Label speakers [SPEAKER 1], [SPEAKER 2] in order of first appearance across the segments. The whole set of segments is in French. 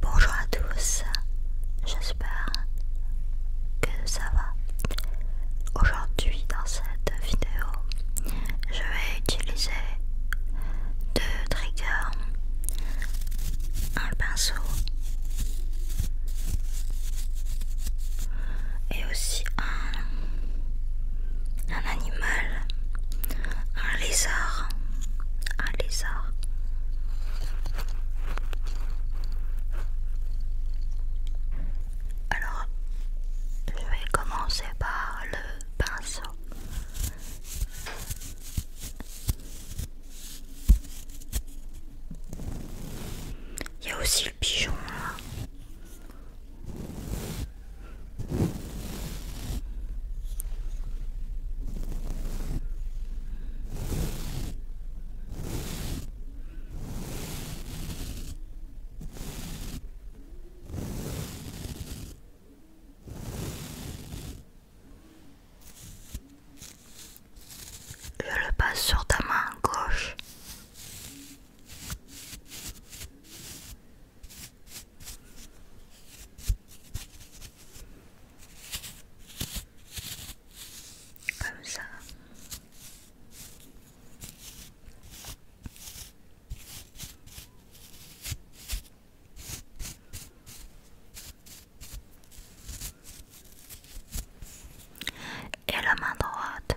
[SPEAKER 1] Bonjour à tous, j'espère que ça va. Aujourd'hui dans cette vidéo, je vais utiliser deux triggers, un pinceau et aussi un un animal, un lézard, un lézard. Alors, je vais commencer par le pinceau. Il y a aussi le pigeon là. Hein. Je le passe sur ta main gauche. Comme ça. Et la main droite.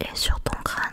[SPEAKER 1] et sur ton crâne.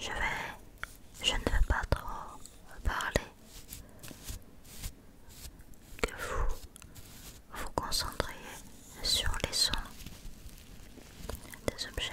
[SPEAKER 1] Je vais, je ne veux pas trop parler, que vous vous concentrez sur les sons des objets.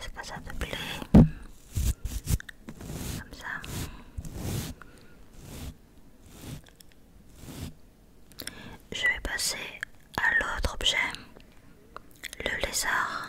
[SPEAKER 1] ce ça Je vais passer à l'autre objet, le lézard.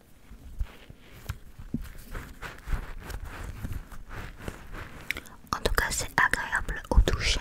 [SPEAKER 1] En tout cas, c'est agréable au toucher.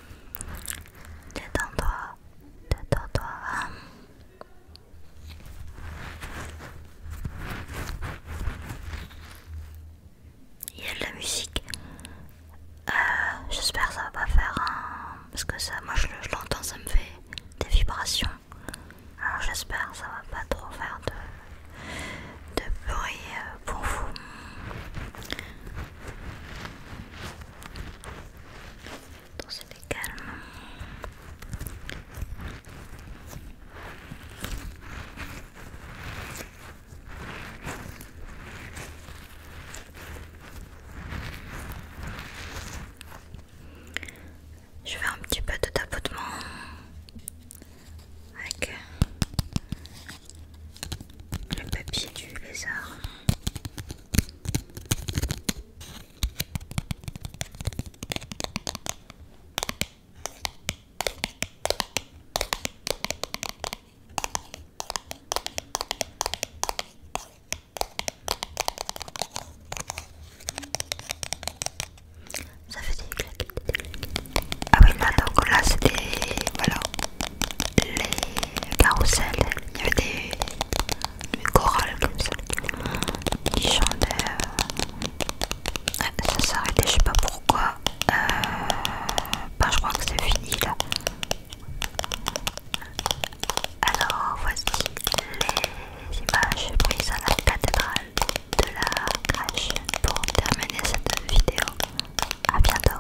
[SPEAKER 1] Détends-toi, détends-toi. Il y a de la musique. Euh, j'espère que ça va pas faire Parce que ça, moi je, l'entends, ça me fait des vibrations. Alors j'espère que ça va pas trop faire de bruit euh, pour vous. Attends, c'était calme. Je fais un petit peu de tapotement avec le papier du lézard. Ça fait des claques Ah oui, là donc là c'était, Voilà les carousels, il y avait des, chorales comme ça, qui chantaient, ça ça s'arrêtait, je sais pas pourquoi, euh, bah, je crois que c'est fini là. Alors voici les images prises à la cathédrale de la crèche pour terminer cette vidéo à bientôt.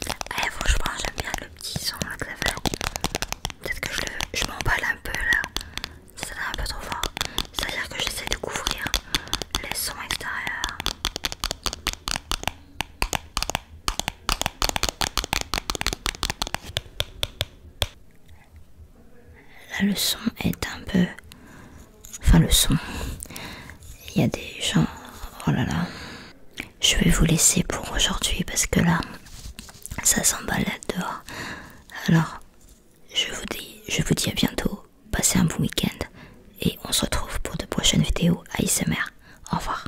[SPEAKER 1] Allez, eh, franchement, j'aime bien le petit son que ça fait. Peut-être que je, je m'emballe un peu là, ça va un peu trop fort. C'est-à-dire que j'essaie de couvrir les sons extérieurs. La leçon est un peu... Enfin le son. Il y a des gens... Oh là là. Je vais vous laisser pour aujourd'hui parce que là, ça s'emballe dehors. Alors, je vous dis, je vous dis à bientôt. Passez un bon week-end et on se retrouve pour de prochaines vidéos ASMR. Au revoir.